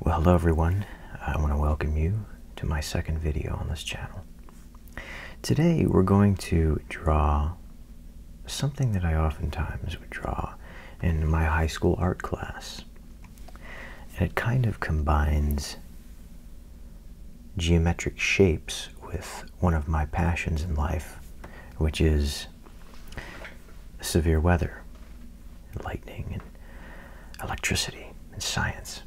Well, hello everyone. I want to welcome you to my second video on this channel. Today we're going to draw something that I oftentimes would draw in my high school art class. And it kind of combines geometric shapes with one of my passions in life, which is severe weather, and lightning, and electricity, and science.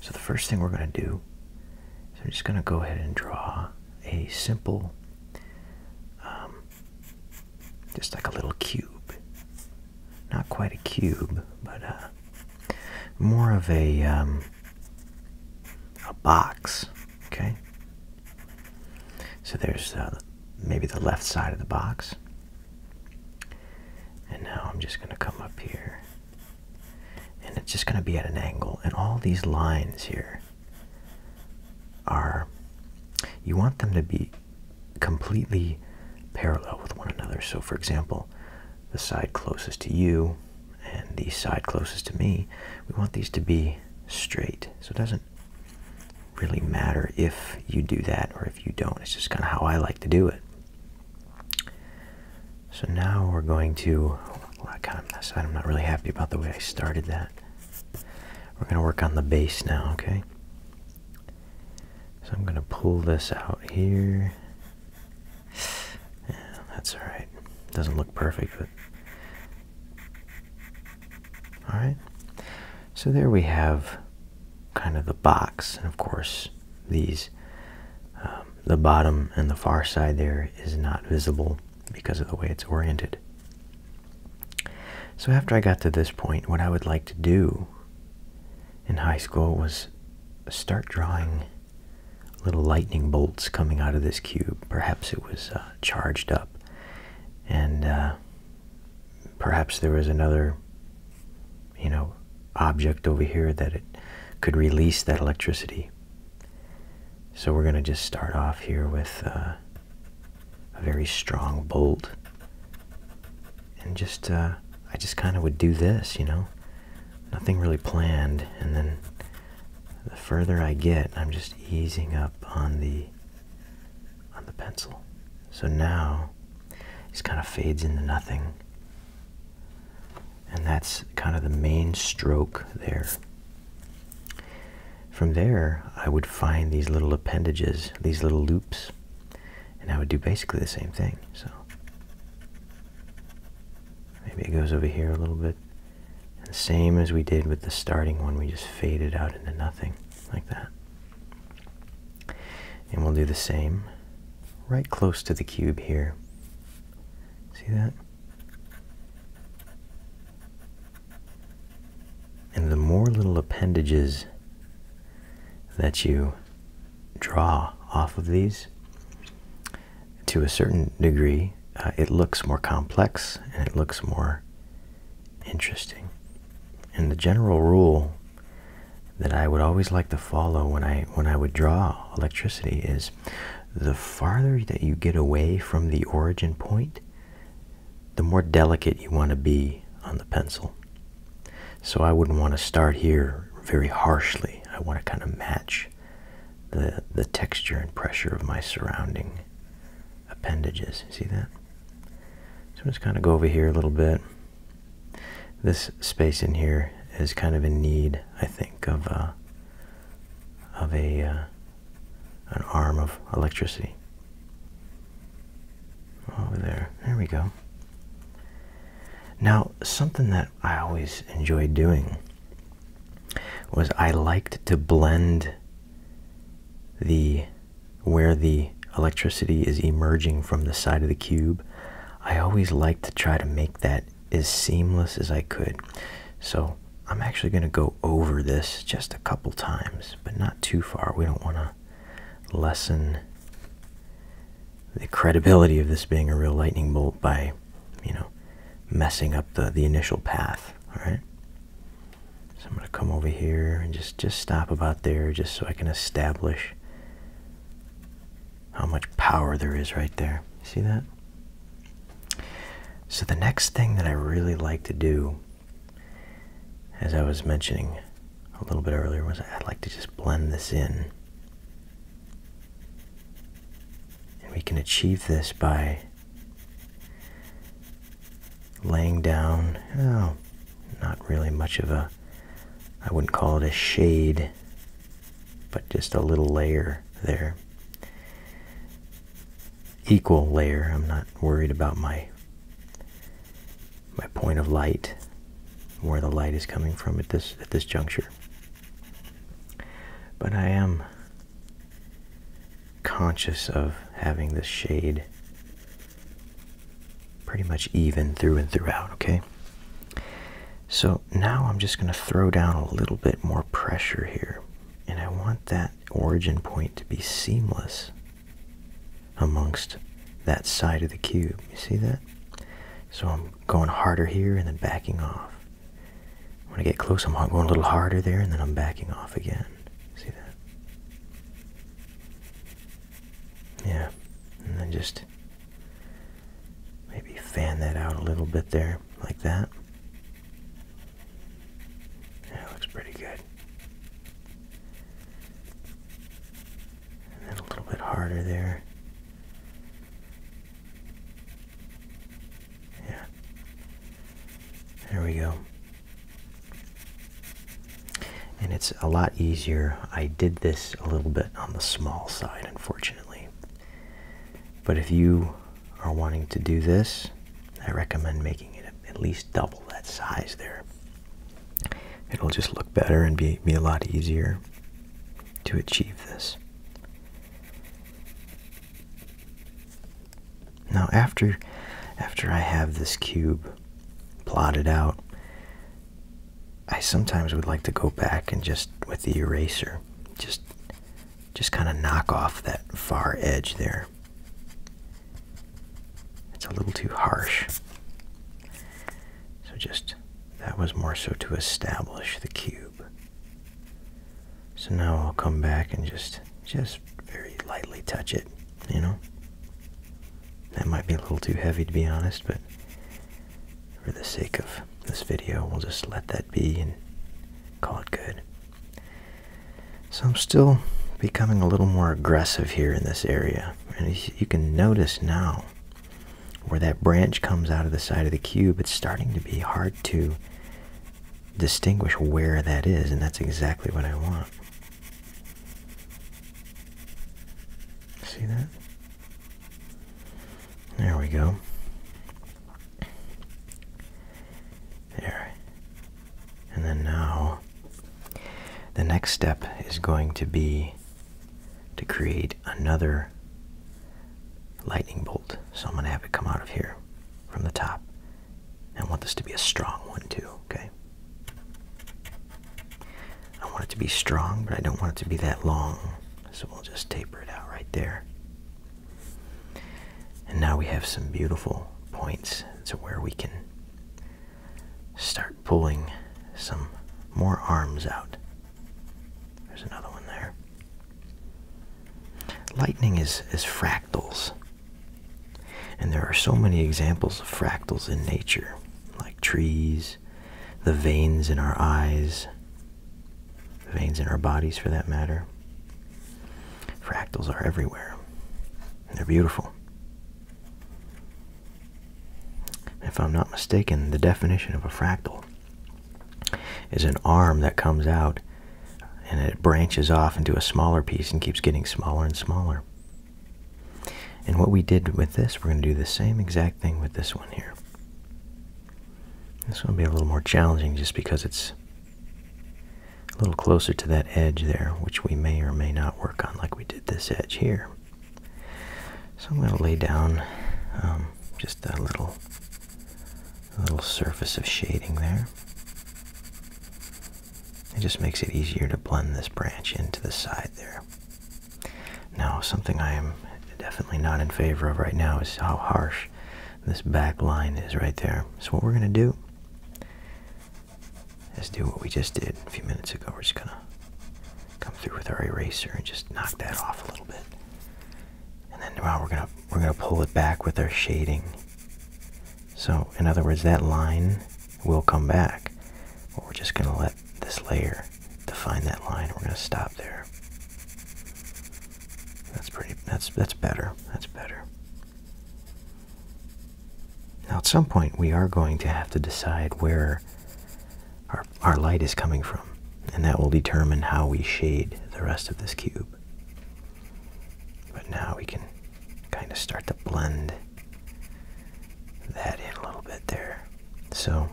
So the first thing we're going to do is I'm just going to go ahead and draw a simple, um, just like a little cube. Not quite a cube, but uh, more of a um, a box. Okay, so there's uh, maybe the left side of the box. And now I'm just going to come up here. And it's just going to be at an angle. And all these lines here are, you want them to be completely parallel with one another. So for example, the side closest to you and the side closest to me, we want these to be straight. So it doesn't really matter if you do that or if you don't. It's just kind of how I like to do it. So now we're going to, well, oh, I kind of messed up. I'm not really happy about the way I started that. We're going to work on the base now, okay? So I'm going to pull this out here. Yeah, that's all right. Doesn't look perfect, but all right. So there we have kind of the box, and of course, these um, the bottom and the far side there is not visible because of the way it's oriented. So after I got to this point, what I would like to do in high school was start drawing little lightning bolts coming out of this cube. Perhaps it was uh, charged up. And uh, perhaps there is another you know object over here that it could release that electricity so we're going to just start off here with uh, a very strong bolt and just uh, i just kind of would do this you know nothing really planned and then the further i get i'm just easing up on the on the pencil. So now this kind of fades into nothing. And that's kind of the main stroke there. From there, I would find these little appendages, these little loops, and I would do basically the same thing. So maybe it goes over here a little bit, and same as we did with the starting one, we just fade it out into nothing like that. And we'll do the same right close to the cube here. See that? And the more little appendages that you draw off of these, to a certain degree, uh, it looks more complex and it looks more interesting. And the general rule that I would always like to follow when I when I would draw electricity is the farther that you get away from the origin point, the more delicate you want to be on the pencil. So I wouldn't want to start here very harshly. I want to kind of match the the texture and pressure of my surrounding appendages. see that? So I'm just kind of go over here a little bit. This space in here is kind of in need, I think, of a, uh, of a uh, an arm of electricity. Over there, there we go. Now, something that I always enjoyed doing was I liked to blend the where the electricity is emerging from the side of the cube i always like to try to make that as seamless as i could so i'm actually going to go over this just a couple times but not too far we don't want to lessen the credibility of this being a real lightning bolt by you know messing up the the initial path all right so I'm going to come over here and just just stop about there just so I can establish how much power there is right there. See that? So the next thing that I really like to do as I was mentioning a little bit earlier was I'd like to just blend this in. And we can achieve this by Laying down, oh, not really much of a, I wouldn't call it a shade, but just a little layer there. Equal layer, I'm not worried about my my point of light, where the light is coming from at this at this juncture. But I am conscious of having the shade pretty much even through and throughout, okay? So now I'm just going to throw down a little bit more pressure here. And I want that origin point to be seamless amongst that side of the cube. You see that? So I'm going harder here and then backing off. When I get close, I'm going a little harder there, and then I'm backing off again. See that? Yeah. And then just maybe fan that out a little bit there, like that. That looks pretty good. And then a little bit harder there. Yeah. There we go. And it's a lot easier. I did this a little bit on the small side, unfortunately. But if you are wanting to do this, I recommend making it at least double that size there. It'll just look better and be, be a lot easier to achieve this. Now after after I have this cube plotted out, I sometimes would like to go back and just with the eraser, just just kind of knock off that far edge there. It's a little too harsh. So just that was more so to establish the cube. So now I'll come back and just just very lightly touch it, you know. That might be a little too heavy to be honest, but for the sake of this video, we'll just let that be and call it good. So I'm still becoming a little more aggressive here in this area. And you can notice now where that branch comes out of the side of the cube, it's starting to be hard to distinguish where that is, and that's exactly what I want. See that? There we go. There. And then now, the next step is going to be to create another lightning bolt. So I'm going to have it come out of here from the top. I want this to be a strong one too, okay? I want it to be strong, but I don't want it to be that long. So we'll just taper it out right there. And now we have some beautiful points to where we can start pulling some more arms out. There's another one there. Lightning is, is fractals. And there are so many examples of fractals in nature, like trees, the veins in our eyes, veins in our bodies for that matter. Fractals are everywhere. they're beautiful. If I'm not mistaken, the definition of a fractal is an arm that comes out and it branches off into a smaller piece and keeps getting smaller and smaller. And what we did with this, we're going to do the same exact thing with this one here. This one will be a little more challenging just because it's a little closer to that edge there, which we may or may not work on like we did this edge here. So I'm going to lay down um, just a little a little surface of shading there. It just makes it easier to blend this branch into the side there. Now, something I am definitely not in favor of right now is how harsh this back line is right there. So what we're going to do is do what we just did a few minutes ago. We're just going to come through with our eraser and just knock that off a little bit. And then now we're going to we're going to pull it back with our shading. So, in other words, that line will come back. But we're just going to let this layer define that line. We're going to stop there. That's pretty, that's, that's better. That's better. Now, at some point, we are going to have to decide where our, our light is coming from, and that will determine how we shade the rest of this cube. But now we can kind of start to blend that in a little bit there. So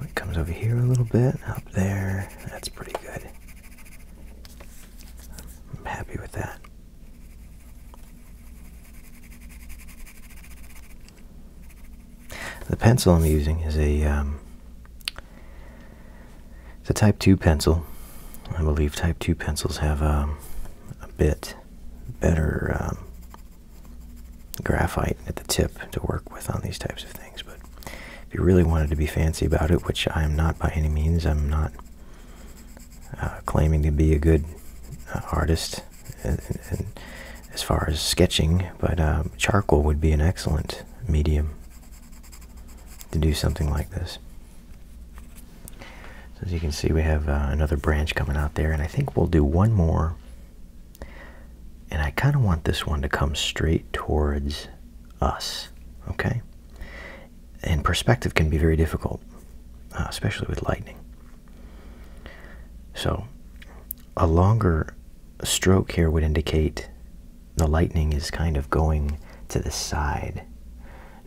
it comes over here a little bit, up there. That's pretty good. I'm happy with that. The pencil I'm using is a um, it's a Type Two pencil. I believe Type Two pencils have um, a bit better um, graphite at the tip to work with on these types of things. But if you really wanted to be fancy about it, which I am not by any means, I'm not uh, claiming to be a good uh, artist as far as sketching, but uh, charcoal would be an excellent medium to do something like this. as you can see, we have uh, another branch coming out there, and I think we'll do one more. And I kind of want this one to come straight towards us, okay? And perspective can be very difficult, uh, especially with lightning. So a longer stroke here would indicate the lightning is kind of going to the side.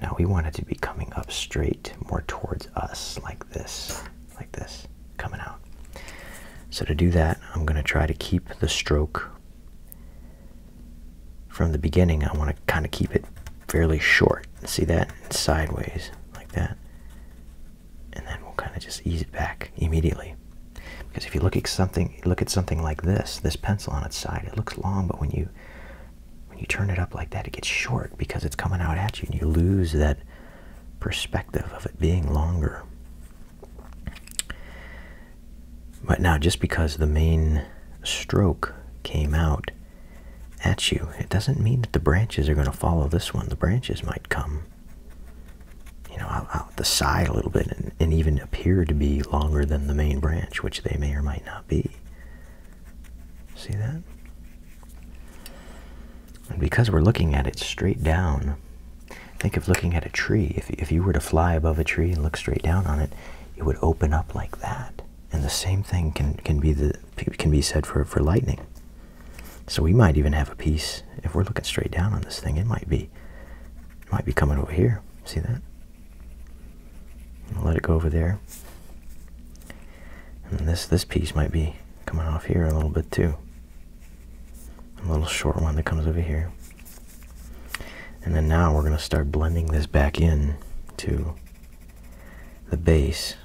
Now we want it to be coming up straight more towards us like this, like this, coming out. So to do that, I'm going to try to keep the stroke from the beginning. I want to kind of keep it fairly short. See that? sideways like that and then we'll kind of just ease it back immediately. Because if you look at something, look at something like this, this pencil on its side, it looks long, but when you when you turn it up like that, it gets short because it's coming out at you, and you lose that perspective of it being longer. But now, just because the main stroke came out at you, it doesn't mean that the branches are going to follow this one. The branches might come you know, out, the side a little bit and, and even appear to be longer than the main branch, which they may or might not be. See that? And because we're looking at it straight down, think of looking at a tree. If, if you were to fly above a tree and look straight down on it, it would open up like that. And the same thing can, can, be, the, can be said for, for lightning. So we might even have a piece if we're looking straight down on this thing. It might be, might be coming over here. See that? let it go over there. And this this piece might be coming off here a little bit too. A little short one that comes over here. And then now we're going to start blending this back in to the base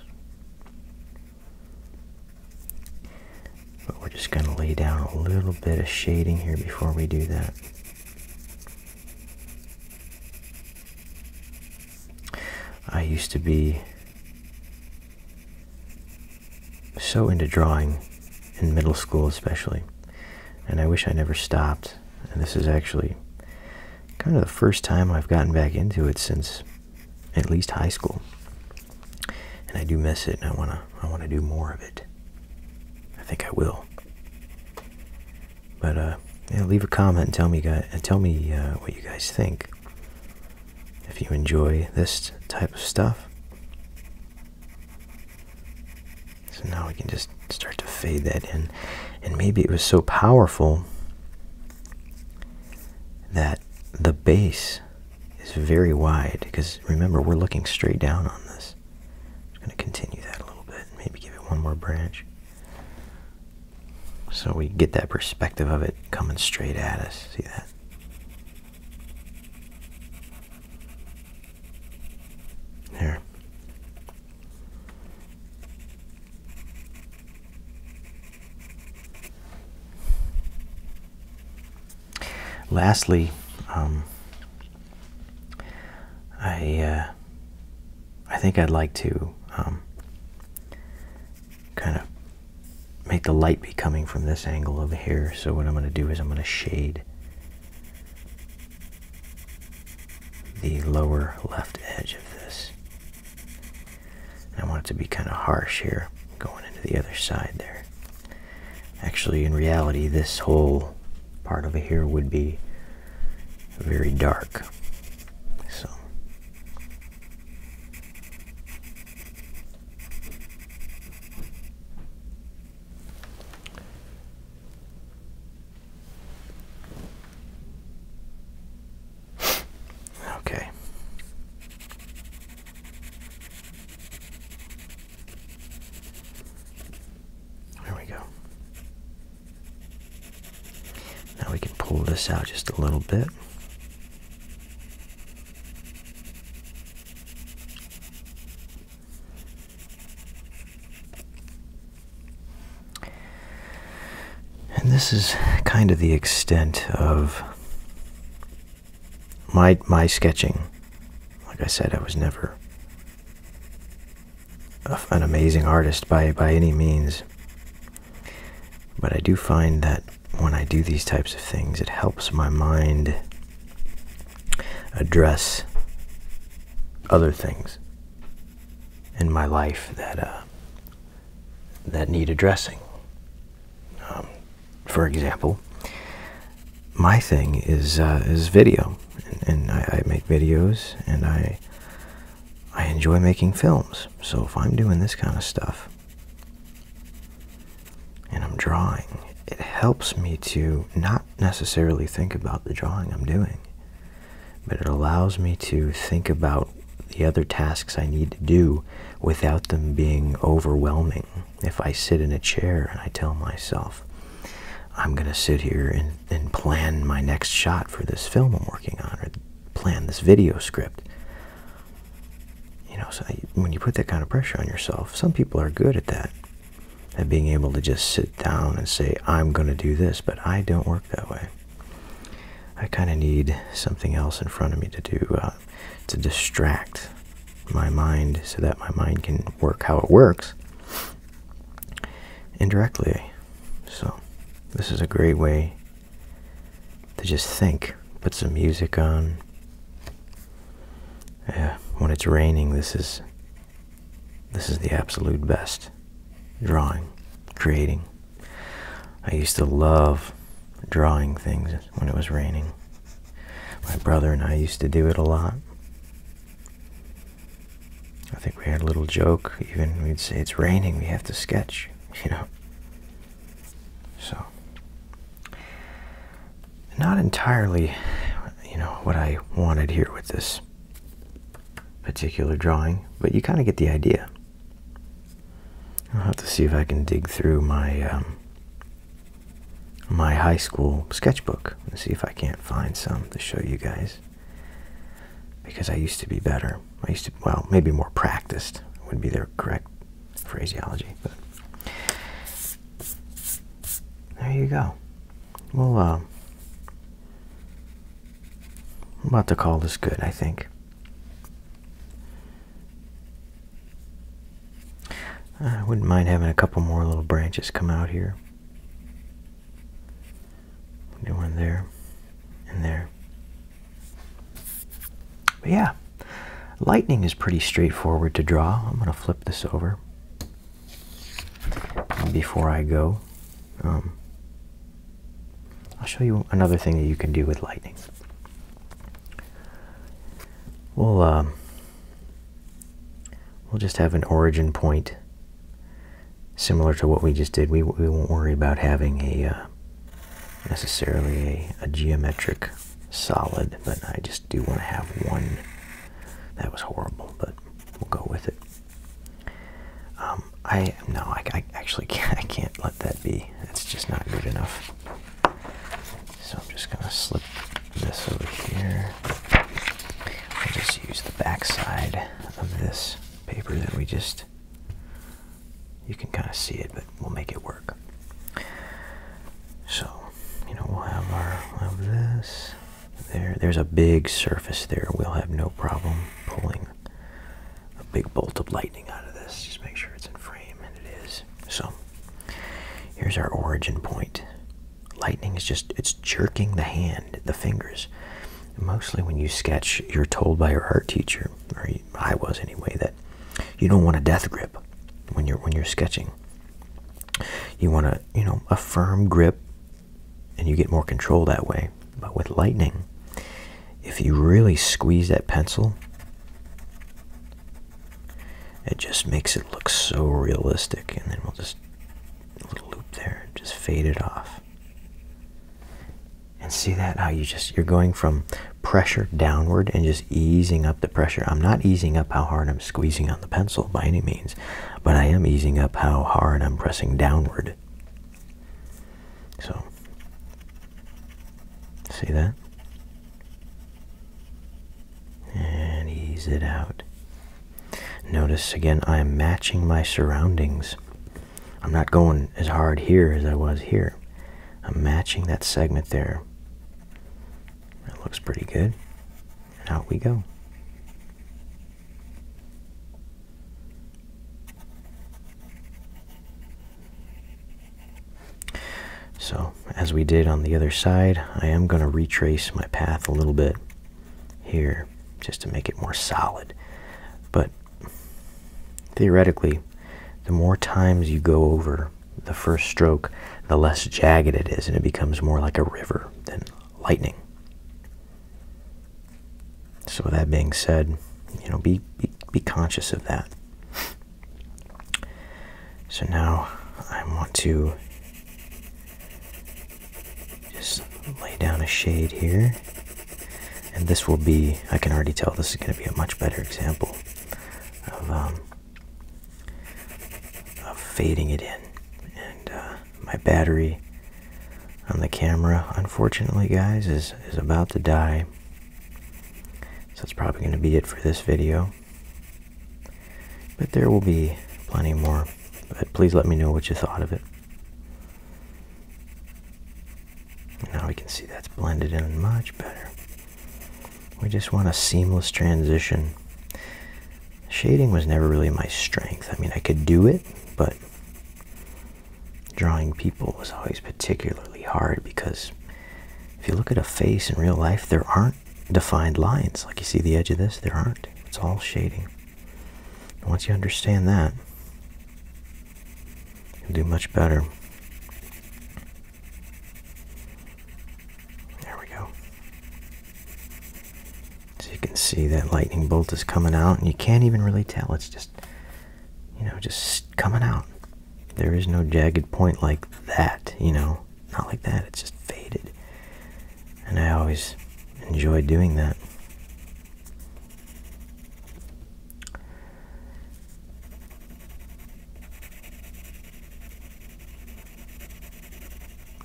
but we're just going to lay down a little bit of shading here before we do that. I used to be so into drawing in middle school especially and I wish I never stopped and this is actually kind of the first time I've gotten back into it since at least high school. And I do miss it, and I wanna I wanna do more of it. I think I will. But uh, yeah, leave a comment and tell me guys and tell me uh, what you guys think. If you enjoy this type of stuff. So now we can just start to fade that in. And maybe it was so powerful that the bass is very wide because remember we're looking straight down on this. I'm going to continue that a little bit maybe give it one more branch. So we get that perspective of it coming straight at us. See that? There. Lastly, um, I uh, I think I'd like to um, kind of make the light be coming from this angle over here. So what I'm going to do is I'm going to shade the lower left edge of this I want it to be kind of harsh here, going into the other side there. Actually, in reality, this whole part over here would be very dark. So. Okay. There we go. Now we can pull this out just a little bit. And this is kind of the extent of my my sketching. Like I said, I was never an amazing artist by by any means. But I do find that when I do these types of things, it helps my mind address other things in my life that uh, that need addressing. Um, for example, my thing is uh, is video, and, I, I make videos, and I I enjoy making films. So if I'm doing this kind of stuff and I'm drawing, it helps me to not necessarily think about the drawing I'm doing, but it allows me to think about the other tasks I need to do without them being overwhelming. If I sit in a chair and I tell myself, I'm going to sit here and, and plan my next shot for this film I'm working on or plan this video script. You know, when you put that kind of pressure on yourself, some people are good at that, at being able to just sit down and say, I'm going to do this, but I don't work that way. I kind of need something else in front of me to do uh, to distract my mind so that my mind can work how it works indirectly. So, this is a great way to just think. Put some music on. Yeah, when it's raining, this is this is the absolute best drawing, creating. I used to love drawing things when it was raining. My brother and I used to do it a lot. I think we had a little joke, even we'd say it's raining, we have to sketch, you know. So not entirely, you know, what I wanted here with this particular drawing, but you kind of get the idea. I'll have to see if I can dig through my um, my high school sketchbook and see if I can't find some to show you guys. Because I used to be better. I used to, well, maybe more practiced would be the correct phraseology. But there you go. Well, uh, I'm about to call this good, I think. I wouldn't mind having a couple more little branches come out here. Do one there and there. But yeah, lightning is pretty straightforward to draw. I'm going to flip this over before I go. Um, I'll show you another thing that you can do with lightning. We'll um, we'll just have an origin point similar to what we just did. We we won't worry about having a uh, necessarily a, geometric solid, but I just do want to have one. That was horrible, but we'll go with it. Um, um, I no, I, actually can't. I can't let that be. It's just not good enough. So I'm just gonna slip this over here. I'll just use the back side of this paper that we just. You can kind of see it, but we'll make it work. So, you know, we'll have our we have this. There, there's a big surface there. We'll have no problem pulling a big bolt of lightning out of this. Just make sure it's in frame, and it is. So here's our origin point. Lightning is just, it's jerking the hand, the fingers. Mostly when you sketch, you're told by your art teacher, or I was anyway, that you don't want a death grip when you're when you're sketching. You want a you know a firm grip, and you get more control that way. But with lightning, if you really squeeze that pencil, it just makes it look so realistic. And then we'll just a little loop there, just fade it off. And see that how you just you're going from pressure downward and just easing up the pressure. I'm not easing up how hard I'm squeezing on the pencil by any means, but I am easing up how hard I'm pressing downward. So, see that? And ease it out. Notice again, I am matching my surroundings. I'm not going as hard here as I was here. I'm matching that segment there. That looks pretty good. And out we go. So, as we did on the other side, I am going to retrace my path a little bit here just to make it more solid. But theoretically, the more times you go over the first stroke, the less jagged it is, and it becomes more like a river than lightning. So with that being said, you know, be be, be conscious of that. So now I want to just lay down a shade here. And this will be, I can already tell this is going to be a much better example of, um, of fading it in. And uh, my battery on the camera, unfortunately, guys, is, is about to die. So that's probably going to be it for this video. But there will be plenty more. But please let me know what you thought of it. Now we can see that's blended in much better. We just want a seamless transition. Shading was never really my strength. I mean, I could do it, but drawing people was always particularly hard because if you look at a face in real life, there aren't defined lines. Like you see the edge of this, there aren't. It's all shading. once you understand that, you'll do much better. There we go. So you can see that lightning bolt is coming out, and you can't even really tell. It's just you know just coming out there is no jagged point like that you know not like that it's just faded and i always enjoy doing that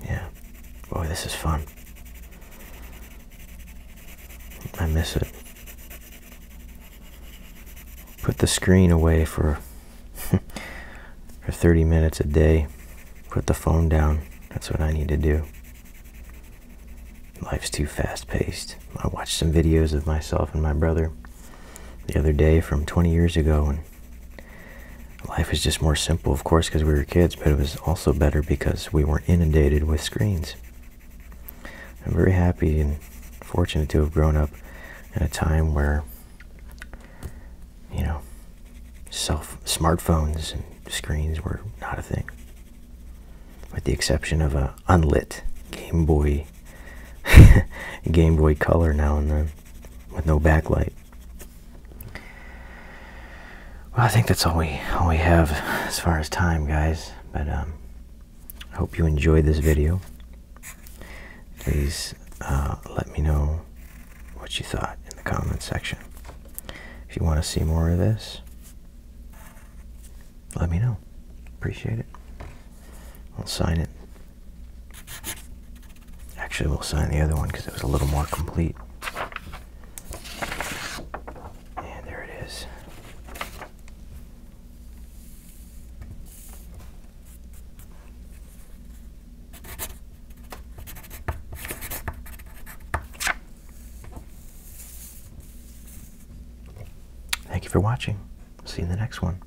yeah boy this is fun I miss it. Put the screen away for for 30 minutes a day. Put the phone down. That's what I need to do. Life's too fast paced. I watched some videos of myself and my brother the other day from 20 years ago and life was just more simple of course because we were kids, but it was also better because we weren't inundated with screens. I'm very happy and fortunate to have grown up at a time where, you know, self smartphones and screens were not a thing, with the exception of a unlit Game Boy, Game Boy Color now and then, with no backlight well, I think that's all we all we have as far as time, guys. But I um, hope you enjoyed this video. Please uh, let me know what you thought in the comments section. If you want to see more of this, let me know. Appreciate it. we will sign it. Actually, we'll sign the other one because it was a little more complete. And there it is. Thank you for watching. See you in the next one.